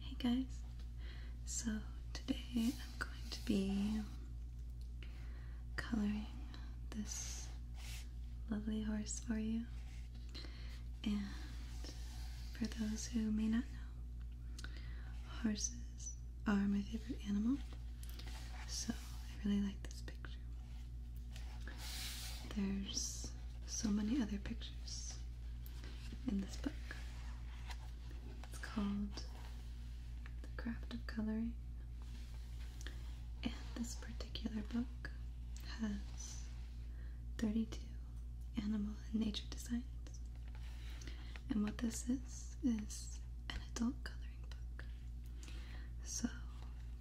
Hey guys, so today I'm going to be coloring this lovely horse for you. And for those who may not know, horses are my favorite animal, so I really like this picture. There's so many other pictures in this book. It's called The Craft of Coloring. And this particular book has 32 animal and nature designs. And what this is, is an adult coloring book. So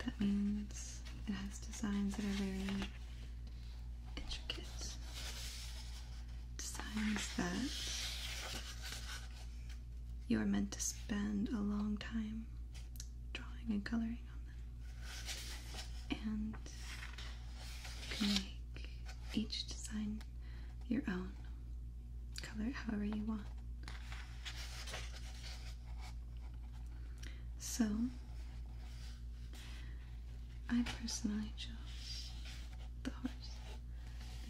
that means it has designs that are very intricate designs that you are meant to spend a long time drawing and coloring on them. And you can make each design your own, color it however you want. So, I personally chose the horse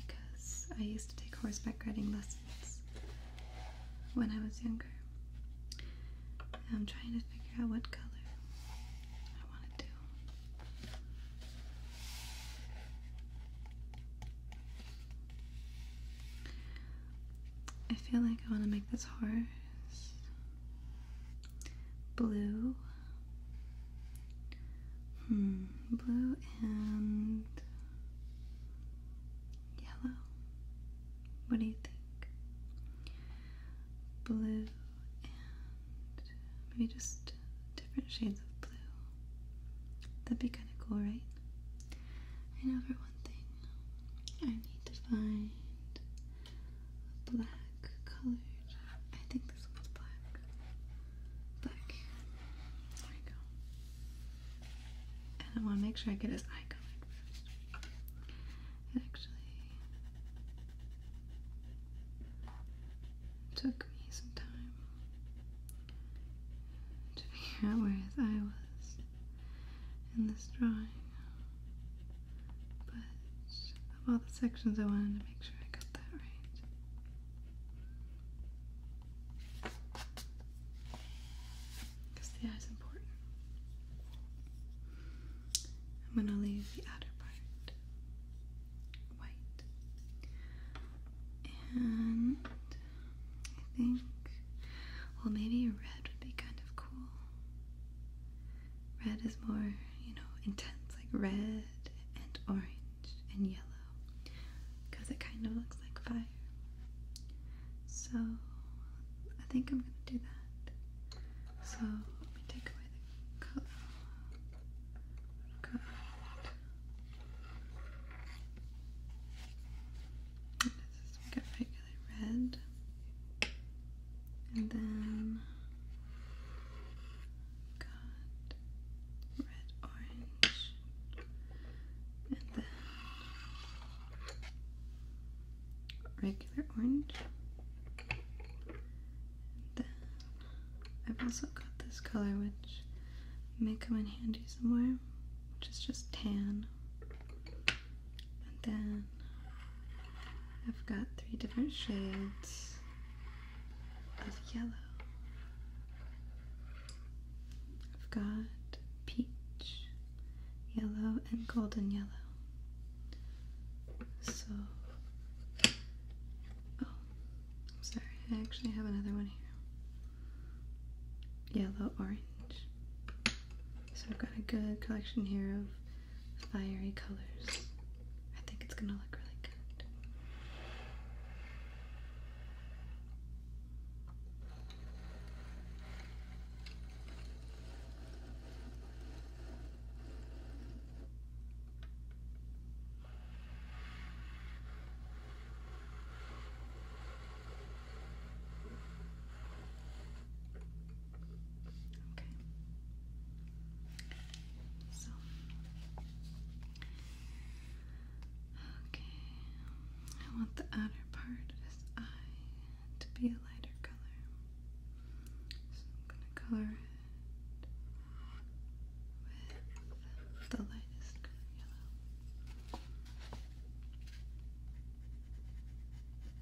because I used to take horseback riding lessons when I was younger. I'm trying to figure out what color I want to do. I feel like I want to make this horse blue. Hmm, blue and yellow. What do you think? Blue and maybe just different shades of blue. That'd be kind of cool, right? I know for one thing, I need to find black colored. I think this one's black. Black. There we go. And I want to make sure I get his eye colored first. It actually took me some time to figure out where his eye was in this drawing. But of all the sections, I wanted to make sure I got that right. Because the eye is important. I'm going to leave the outer part white. And I think, well, maybe red would be kind of cool. Red is more, you know, intense, like red and orange and yellow, because it kind of looks like fire. So I think I'm gonna do that. So let me take away the color. Good. This is we got regular red and then got red, orange, and then regular orange. then I've also got this color which may come in handy somewhere, which is just tan. And then I've got three different shades of yellow. I've got peach, yellow, and golden yellow. So, oh, I'm sorry, I actually have another one here. Yellow, orange. So I've got a good collection here of fiery colors. I think it's gonna look really good. Okay. So. Okay. I want the outer part of his eye to be a lighter color. So I'm going to color it with the lightest yellow.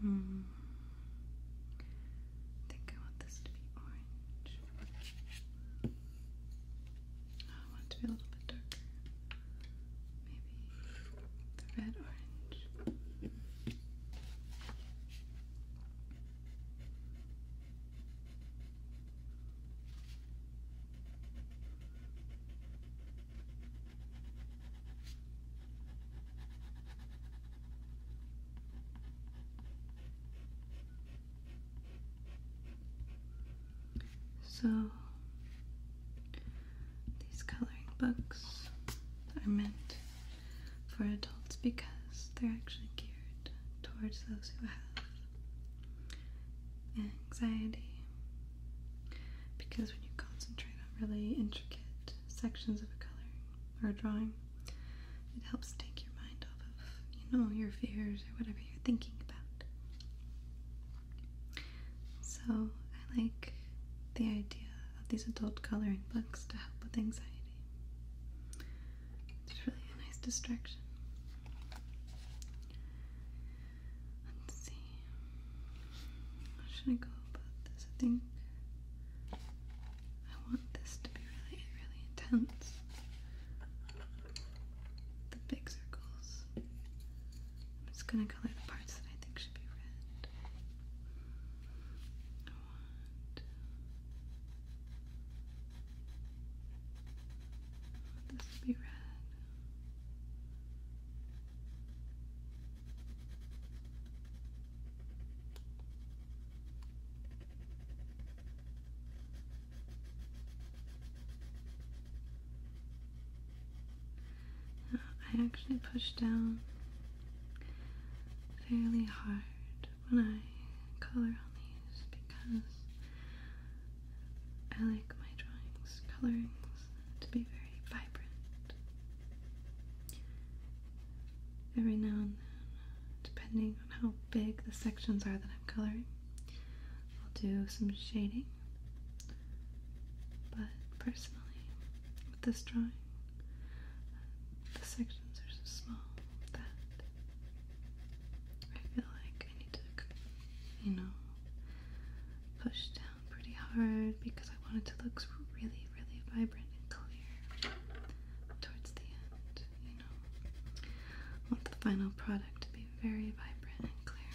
Hmm. I think I want this to be orange. I want to be a little bit darker. Maybe red orange. So these coloring books are meant for adults because they're actually geared towards those who have anxiety. Because when you concentrate on really intricate sections of a coloring or a drawing, it helps take your mind off of, you know, your fears or whatever you're thinking about. So I like the idea uh, these adult coloring books to help with anxiety. It's really a nice distraction. Let's see. should I go about this? I think I want this to be really, really intense. The big circles. I'm just gonna color the parts that I think should be red oh, this will be red. I actually push down fairly hard when I color on these because I like my drawings, colorings to be very vibrant. Every now and then, depending on how big the sections are that I'm coloring, I'll do some shading. But personally, with this drawing. The sections are so small that I feel like I need to, you know, push down pretty hard because I want it to look really, really vibrant and clear towards the end, you know. I want the final product to be very vibrant and clear.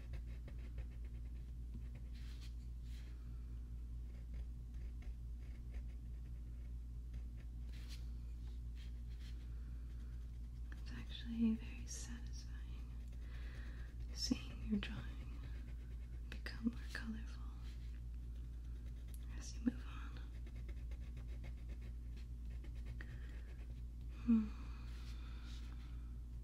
It's actually very satisfying seeing your drawing become more colorful as you move on. Hmm.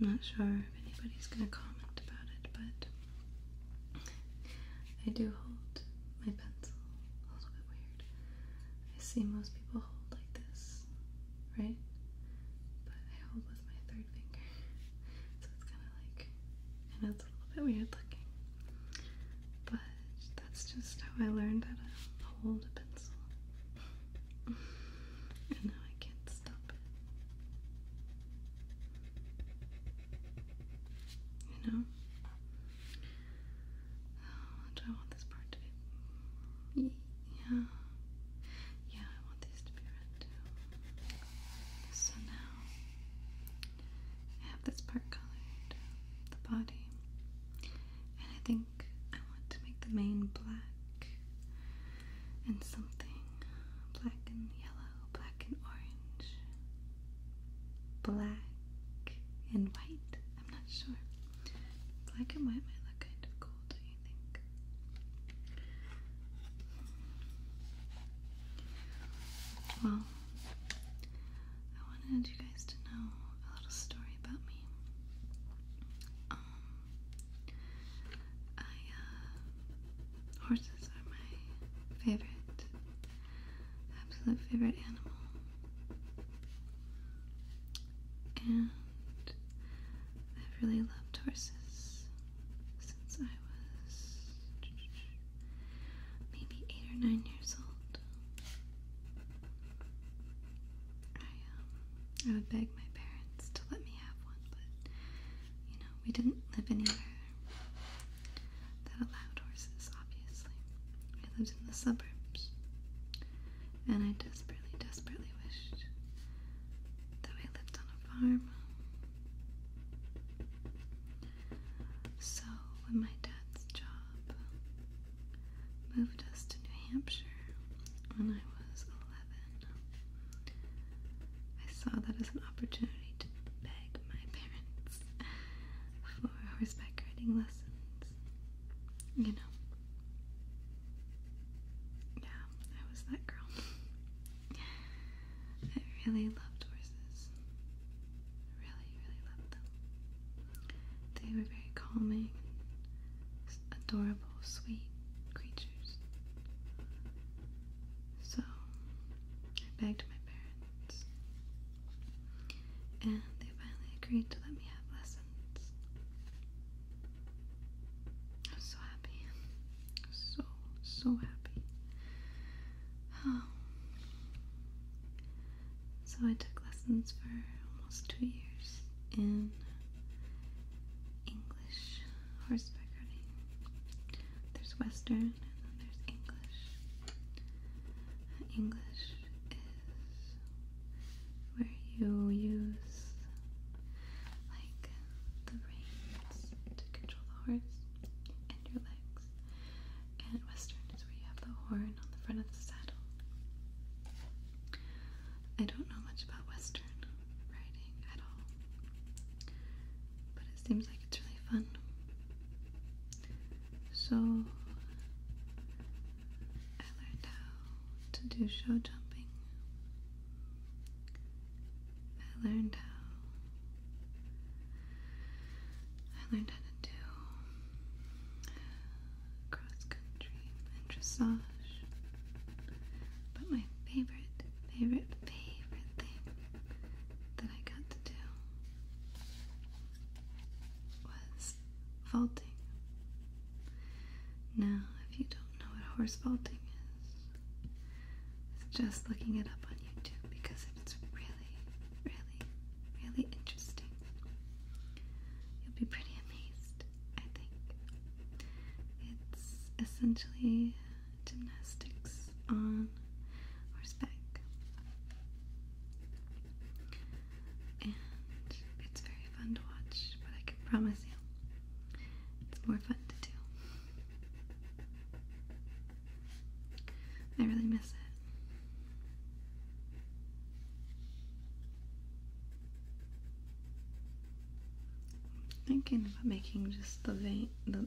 I'm not sure if anybody's going to comment about it, but I do hold my pencil a little bit weird. I see most people hold like this, right? But I hold with my third finger, so it's kind of like, I it's a little bit weird looking, but that's just how I learned how to hold a pencil and now I can't stop it. You know? do oh, I want this part to be. Yeah. Yeah, I want these to be red too. So now I have this part colored, the body. And I think I want to make the main black and something black and yellow, black and orange, black and white. I'm not sure. Black and white might look kind of cool, do you think? Well, I wanted you guys to know a little story about me. Uh, horses are my favorite, absolute favorite animal. And I've really loved horses since I was maybe eight or nine years old. Um, I would beg my parents to let me have one, but you know, we didn't live anywhere that allowed horses, obviously. We lived in the suburbs. And I desperately, desperately wished that I lived on a farm. So when my dad's job moved us to New Hampshire when I was 11. I saw that as an opportunity to beg my parents for horseback riding lessons. You know. Yeah, I was that girl. I really loved horses. Really, really loved them. They were very calming, adorable sweet creatures. So I begged my parents, and they finally agreed to let me have lessons. I was so happy. so, so happy. Um, so I took lessons for almost two years in English horseback riding. There's Western and then there's English. English is where you use like the reins to control the horse and your legs. And Western is where you have the horn on the front of the saddle. I don't know much about Western writing at all, but it seems like it's really fun. So, I learned how to do show jumping. I learned how. I learned how to do cross country and dressage. But my favorite, favorite, favorite thing that I got to do was vaulting. Now, if you don't know what horse vaulting is, just looking it up on YouTube because it's really, really, really interesting. You'll be pretty amazed I think. It's essentially gymnastics on horseback. And it's very fun to watch, but I can promise you, it's more fun to do. I really miss it. Thinking about making just the vein, the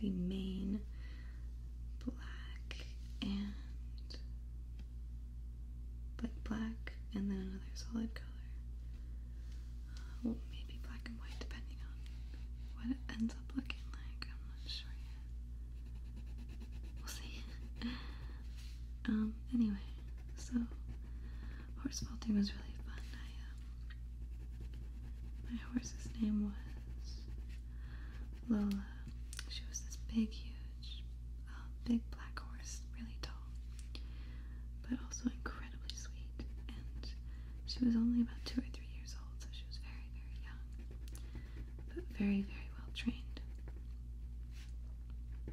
the main black and like black, and then another solid color. Uh, maybe black and white, depending on what it ends up looking like. I'm not sure yet. We'll see. um. Anyway. So horse vaulting was really fun. Um, my horse's name was Lola. She was this big, huge, uh, big black horse, really tall, but also incredibly sweet. And she was only about two or three years old, so she was very, very young, but very, very well trained. I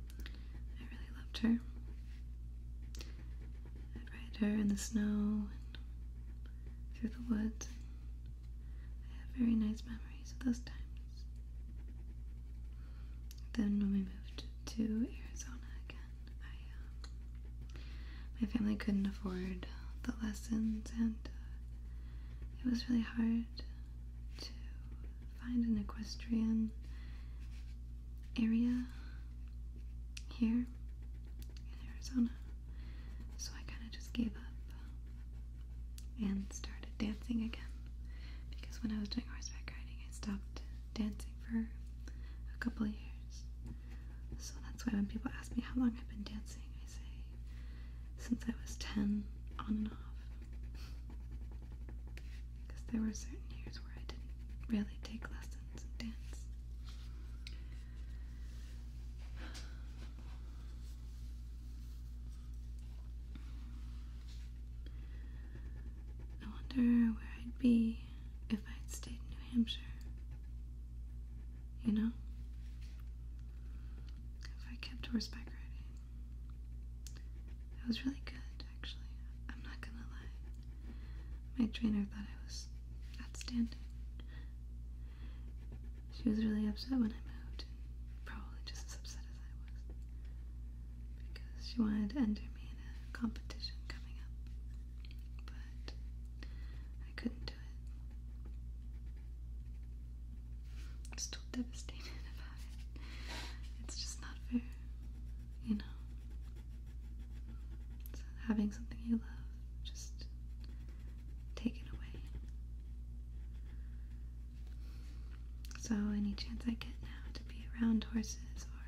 really loved her. I'd ride her in the snow and through the woods. I have very nice memories of those times. Then when we moved to Arizona again, uh, my family couldn't afford the lessons and uh, it was really hard to find an equestrian area here in Arizona. So I kind of just gave up and started dancing again because when I was doing horseback riding, I stopped dancing for a couple years. So that's why when people ask me how long I've been dancing, I say since I was 10 on and off because there were certain years where I didn't really take lessons and dance. I wonder where I'd be if I'd stayed in New Hampshire. You know? If I kept horseback riding. That was really good, actually. I'm not gonna lie. My trainer thought I was outstanding. She was really upset when I moved, probably just as upset as I was. Because she wanted to enter me in a competition coming up. But I couldn't do it devastated about it. It's just not fair, you know. So having something you love, just take away. So, any chance I get now to be around horses or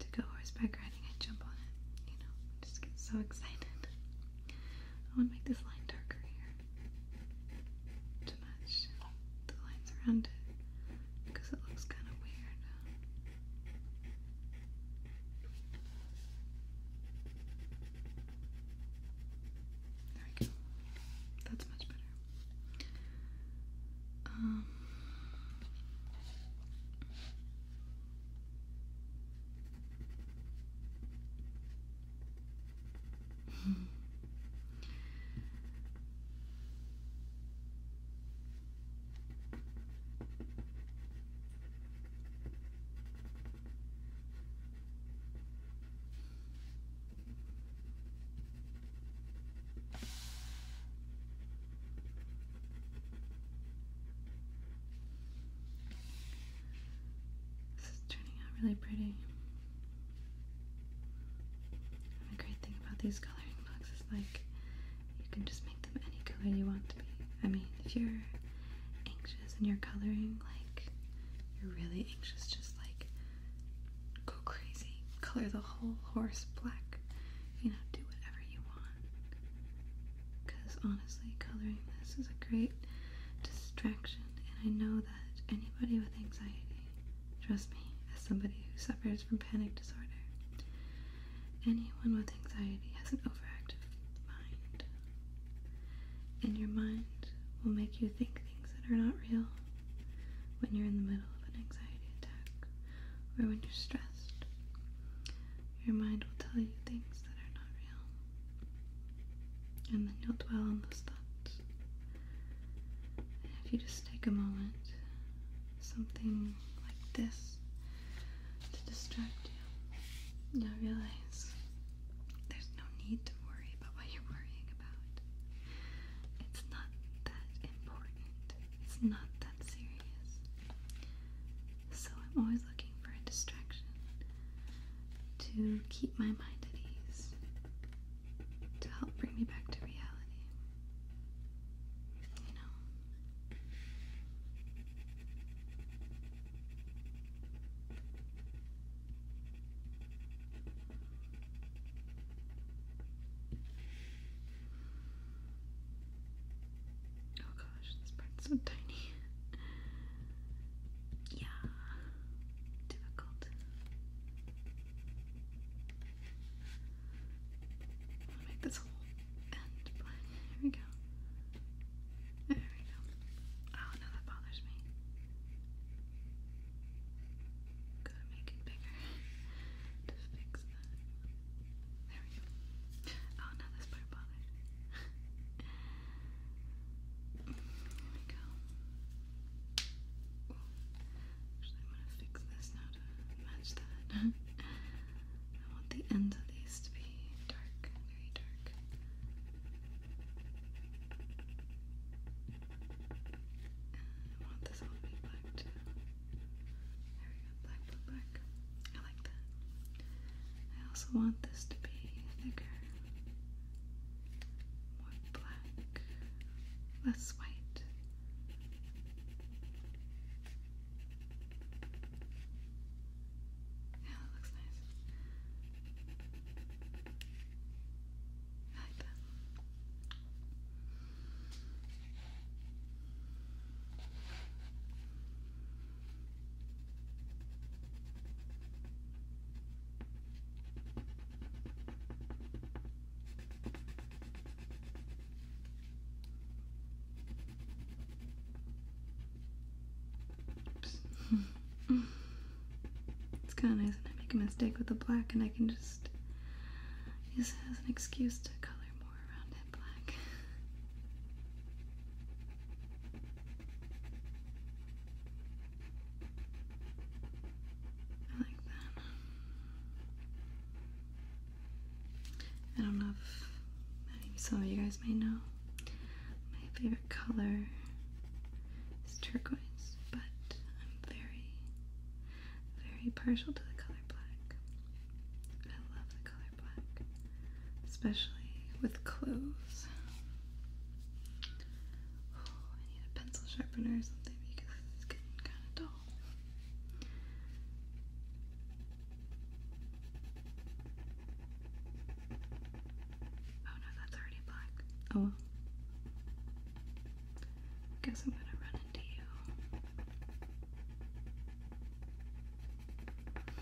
to go horseback riding, I jump on it, you know, just get so excited. I want to make this line darker here to the lines around it because it looks kind of weird. There we go. That's much better. Um, this is turning out really pretty the great thing about these coloring books is like you can just make them any color you want to be. I mean, if you're anxious and you're coloring, like you're really anxious, just like go crazy. Color the whole horse black. You know, do whatever you want. Because honestly, coloring this is a great distraction, and I know that anybody with anxiety Trust me, as somebody who suffers from panic disorder, anyone with anxiety has an overactive mind. And your mind will make you think things that are not real when you're in the middle of an anxiety attack or when you're stressed. Your mind will tell you things that are not real. And then you'll dwell on those thoughts if you just take a moment, something like this to distract you, you'll realize there's no need to worry about what you're worrying about. It's not that important, it's not that serious. So I'm always looking for a distraction to keep my mind at ease to help bring me back to reality. You know? Oh gosh, this part's so tiny. yeah, difficult. I'll make this whole end black. Here we go. There we go. Oh no, that bothers me. Gotta make it bigger to fix that. There we go. Oh no, this part bothers me. there we go. Ooh. Actually, I'm gonna fix this now to match that. I want the ends of these to be dark, very dark. I want this all to be black too. black, black. I like that. I also want this to be thicker, more black. Let's wait. Yeah, that looks nice. I like that. it's kind of nice when I make a mistake with the black and I can just use it as an excuse to color more around it black. I like that. I don't know if some of you guys may know. My favorite color is turquoise, but I'm very, very partial to the color black. I love the color black, especially with clothes. Oh, I need a pencil sharpener or something because it's getting kind of dull. Oh no, that's already black. Oh Guess I'm gonna run into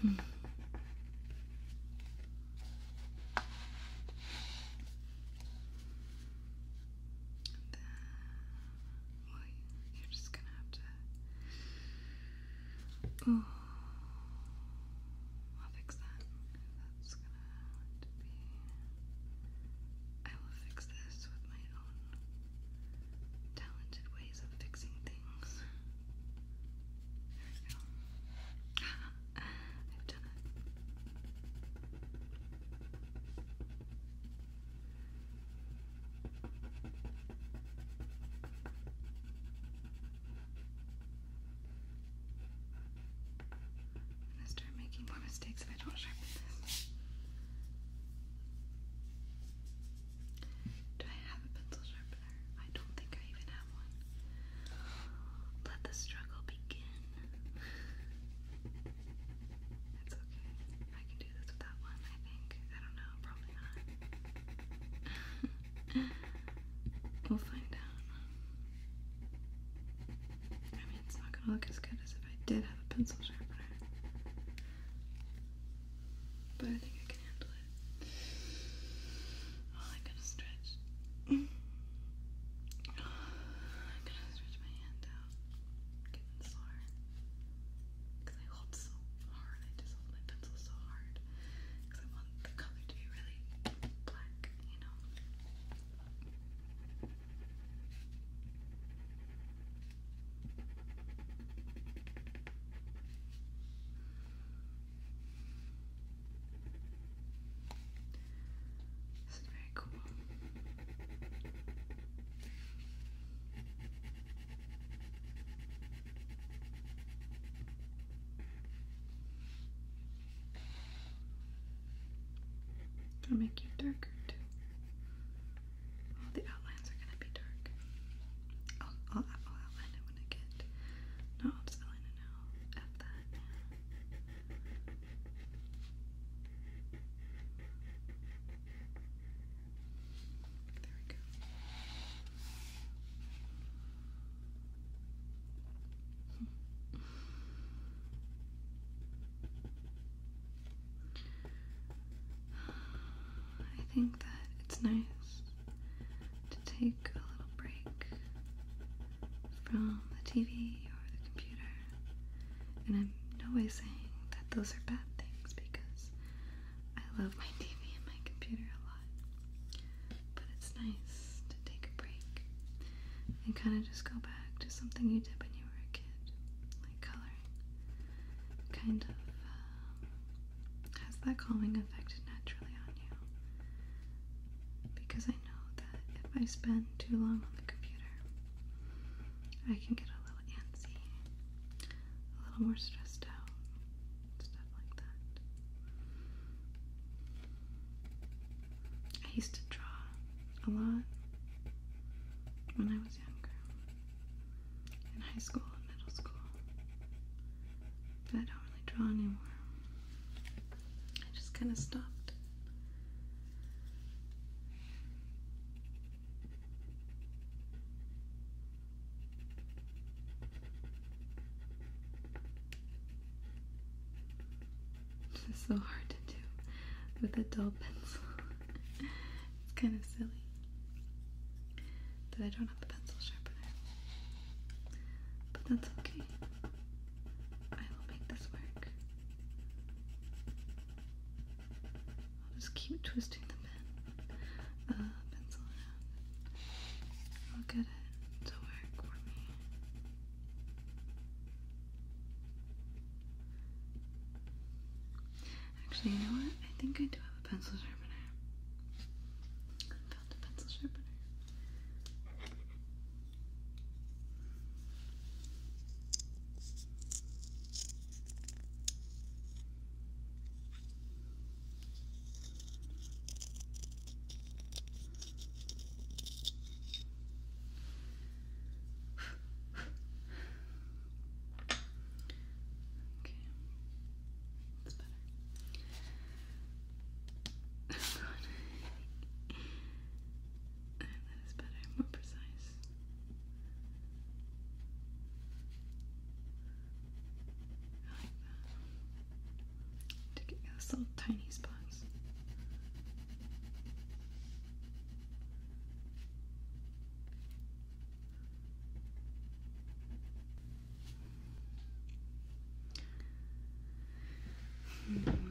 you. Hmm then, you're just gonna have to. I'll fix that. That's gonna be. I will fix this with my own talented ways of fixing things. There we go. i start making more mistakes if I don't sharpen this. Do I have a pencil sharpener? I don't think I even have one. Let the struggle begin. It's okay. I can do this with that one, I think. I don't know, probably not. we'll find out. I mean, it's not gonna look as good as if I did have a pencil sharpener. But I think I can handle it. Oh, I gotta stretch. I gotta stretch my hand out. Getting slower. Because I hold so hard. I just hold my pencil so hard. Because I want the color to be really black, you know? I'll make you darker too. the outlines are gonna be dark. I'll, outline it when I get. No, I'll just now. F that. There we go. I think that it's nice to take a little break from the TV or the computer. And I'm no way saying that those are bad things because I love my TV and my computer a lot. But it's nice to take a break and kind of just go back to something you did when you were a kid, like coloring. Kind of um, has that calming effect naturally on you. Because I. I know that if I spend too long on the computer, I can get a little antsy, a little more stressed out, stuff like that. I used to draw a lot when I was younger, in high school and middle school, but I don't really draw anymore. I just kind of stopped. This is so hard to do with a dull pencil. it's kind of silly that I don't have the pencil sharpener. But that's okay. I will make this work. I'll just keep twisting the pen, uh, pencil around. I'll get it to work for me. Actually, you know what? I think I do have a pencil sharpener. found a pencil sharpener. Okay, that's better. Oh God that is better, more precise. I like that. To get those little tiny spots. -hmm.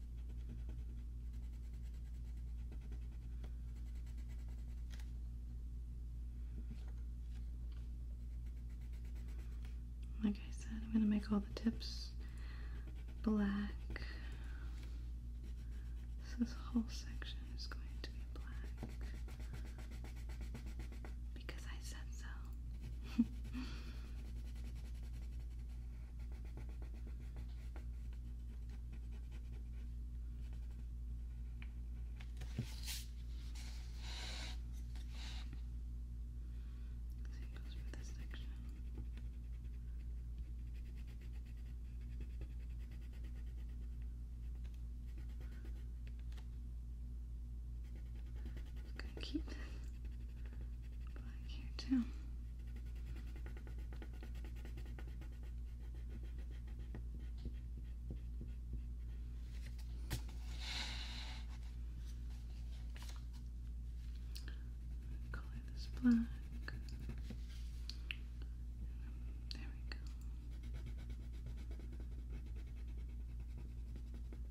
Like I said, I'm going to make all the tips black. this whole section is going to be black. Because I said so. goes for this section. Just gonna keep this black here too. Color this black. There we go.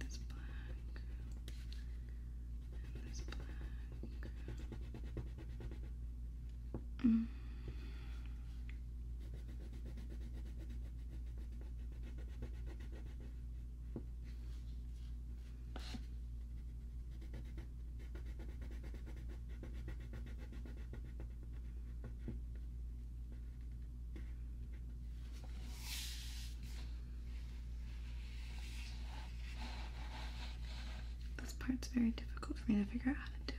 This black and there's black. Mm. This part's very difficult for me to figure out how to do.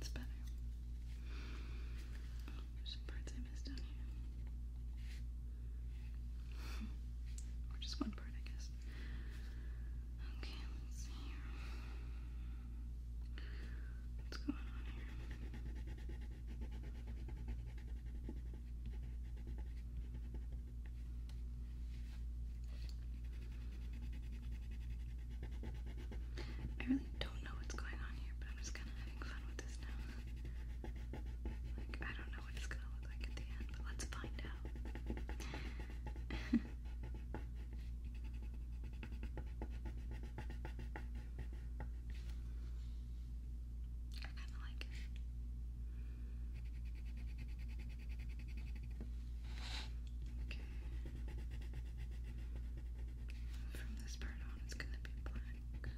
It's better. there's some parts I missed down here. or just one part, I guess. Okay, let's see here. What's going on here? I really don't know what's going on here, but I'm just kind of having fun with this now. Like, I don't know what it's gonna look like at the end, but let's find out. I kind of like it. Okay. From this part on, it's going to be black on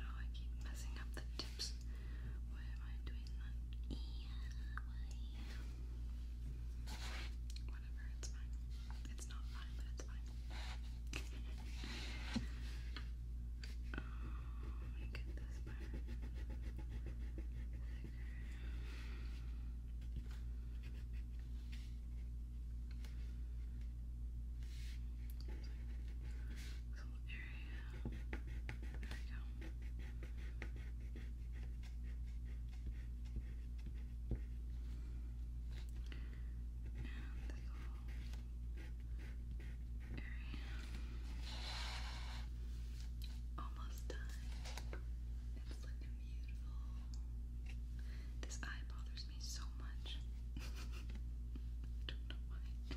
Oh, I keep messing up the tips. Why am I doing Yeah, Whatever, it's fine. It's not fine, but it's fine. Oh, get this part this whole area. There we go. Almost done. It's looking beautiful. This eye bothers me so much. don't know why.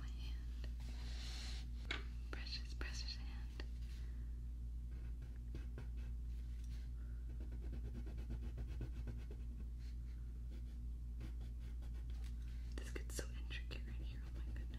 my hand, precious, precious hand. This gets so intricate right here, oh my goodness.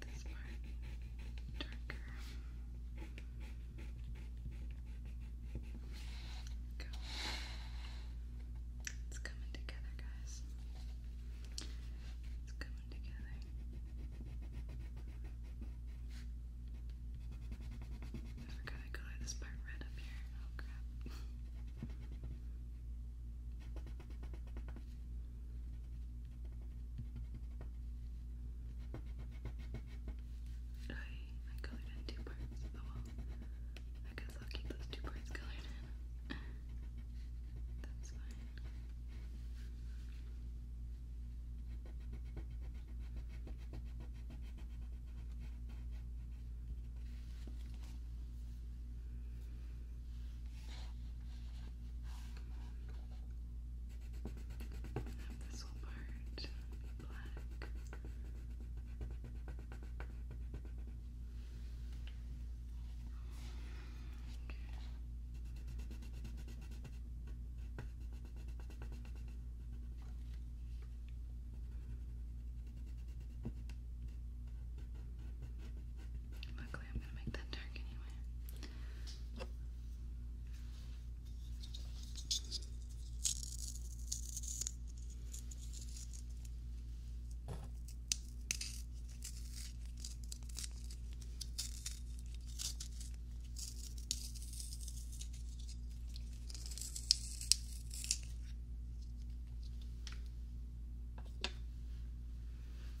make this part darker. It's coming together, guys. It's coming together. I forgot I colored this part red up here. Oh crap. I, I colored in two parts. Oh well. I guess I'll keep those two parts colored in. That's fine. Have this part black darkly. I'm gonna make that dark anyway.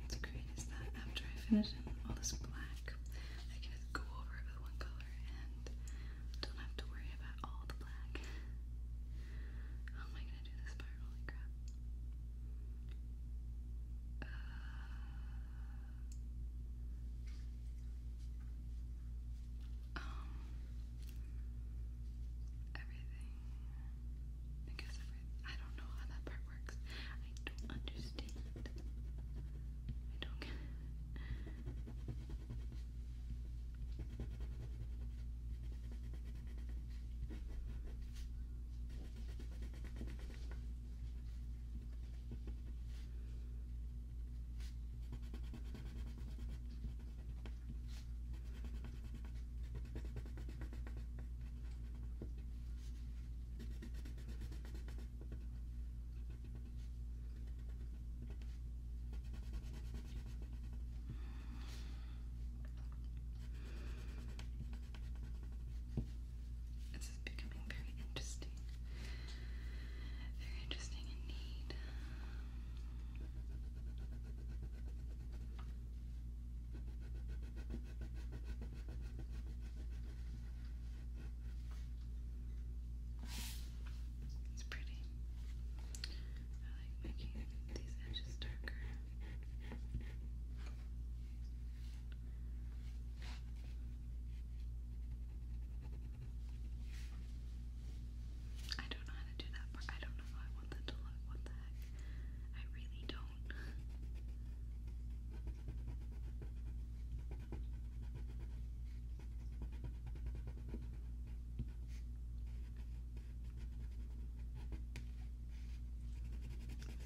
What's great that after I finish in all this black, I can go over with one color and don't have to worry about all the black. How am I gonna do this part? Holy crap. Uh, um, everything. Because I don't know how that part works. I don't understand. I don't this is becoming very interesting. Very interesting indeed. It's pretty. I like making these edges darker. I don't know how to do that part. I don't know how I want that to look. What the heck? I really don't. It's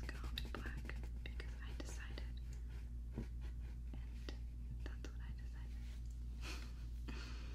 gonna be black because I decided, and that's what I decided.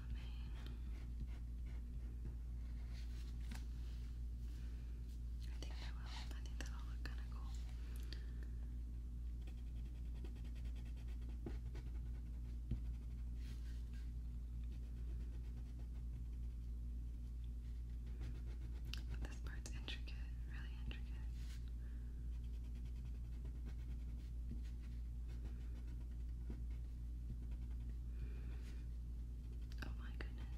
I think I will. I think that'll look kind of cool. But this part's intricate, really intricate. Oh my goodness.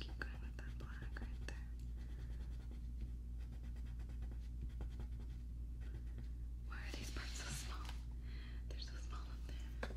Keep going with that black right there. Why are these parts so small? They're so small up there.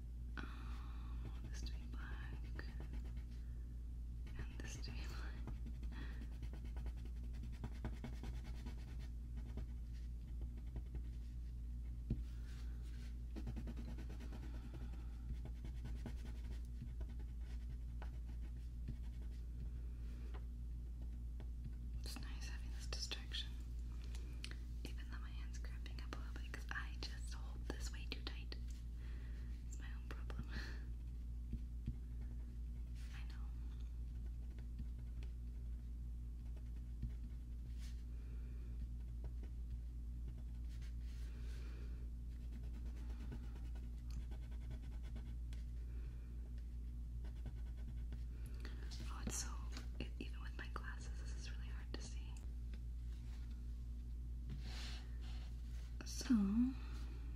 this to be black, and this to be black. It's nice having this distraction. Even though my hand's cramping up a little bit because I just hold this way too tight. It's my own problem. I know. Oh, it's so, it, even with my glasses, this is really hard to see. So,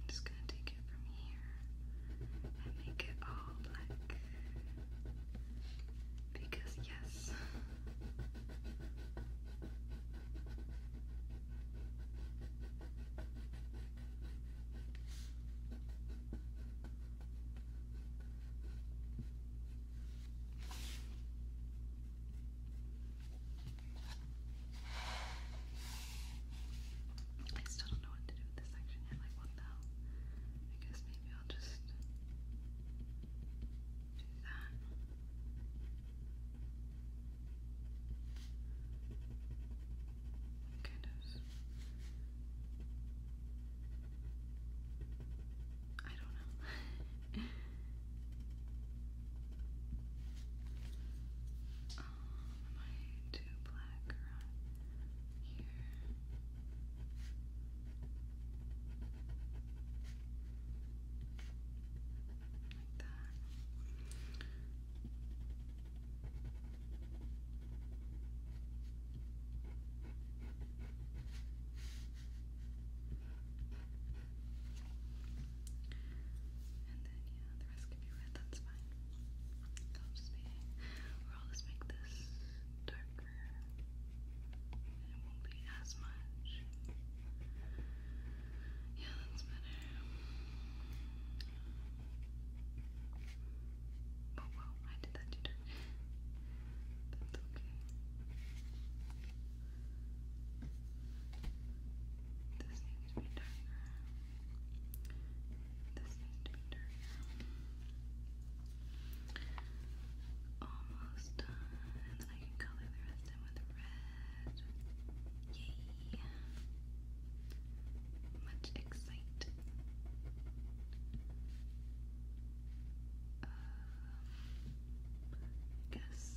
just going to take it from here and make it all black. Because, yes. I still don't know what to do with this section yet, like what the I guess maybe I'll just do that. Kind of. I don't know. Um, am I here? Like that. And then, yeah, the rest can be red, that's fine. I'll just be, or will just make this darker. it won't be as much. Yeah, that's better. Oh, whoa, I did that too dark. That's okay. This needs to be darker. This needs to be darker. Almost done. then I can color the rest in with red. Yay! Much excite. Uh, guess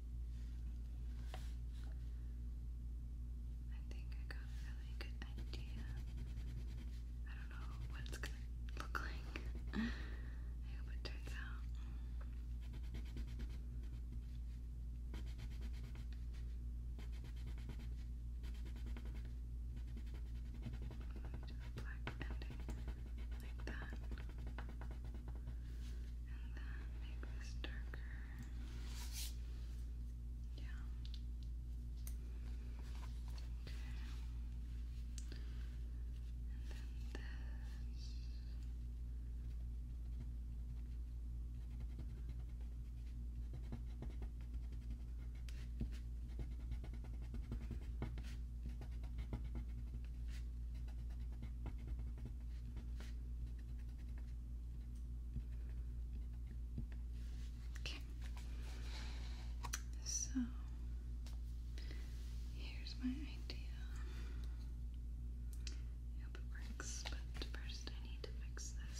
I think I got a really good idea. I don't know what it's gonna look like. I hope it turns out. Do a black ending like that. And then make this darker. Yeah. Okay. And then this. Okay. Okay. So here's my idea. I hope it works, but first I need to fix this.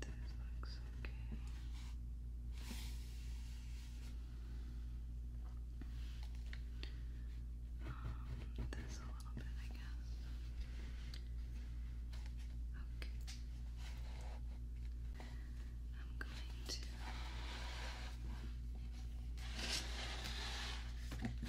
This looks okay. this a little bit, I guess. Okay. I'm going to.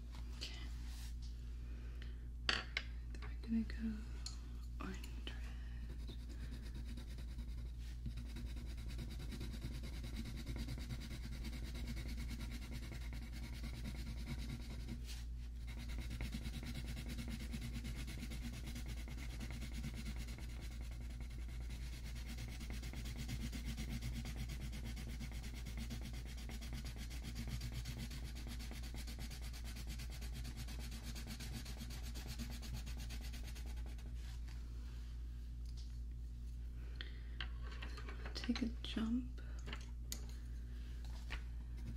Then we're gonna go orange red. Take a jump here.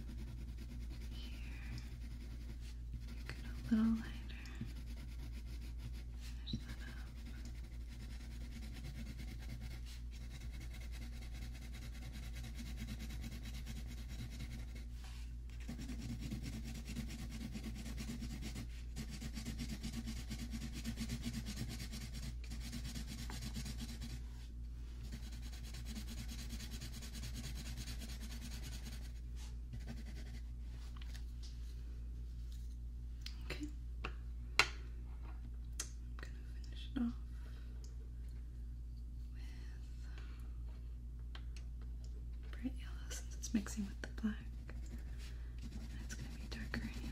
Make it a little lighter. Finish that up. Okay. I'm gonna finish it off bright yellow since it's mixing with the black. It's going to be darker anyway.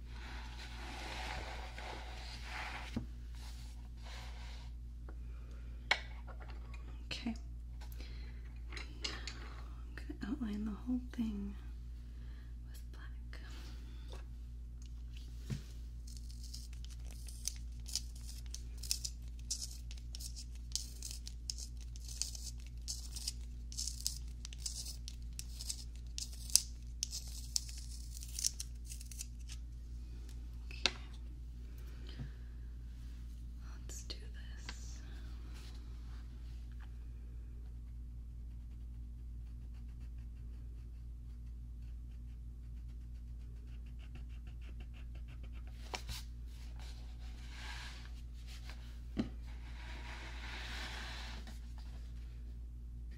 Okay. I'm gonna outline the whole thing with black. Okay. Let's do this.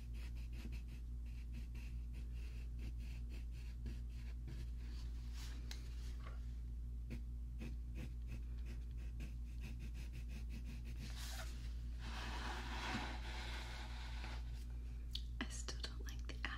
I still don't like the eye.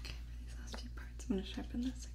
Okay, these last few parts, I'm going to sharpen this again. Okay,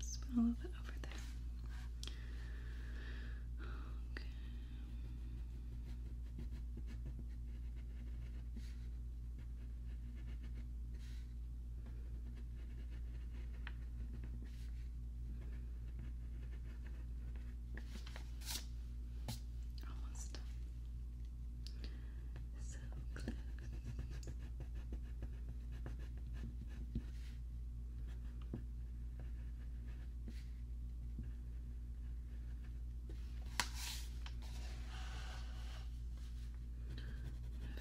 Oops, went a little bit over there. Okay. Almost done. So close.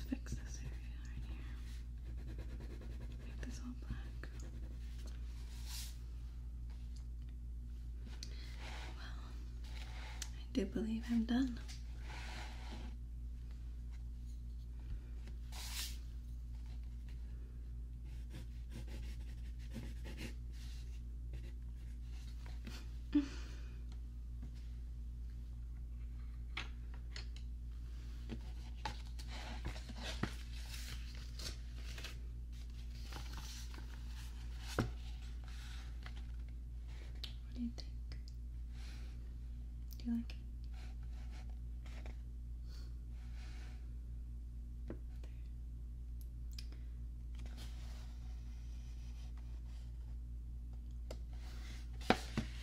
fix this area right here. Make this all black. I do believe I'm done. What do you think? Do you like it? Thanks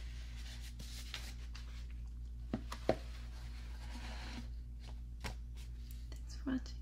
for watching. Bye guys.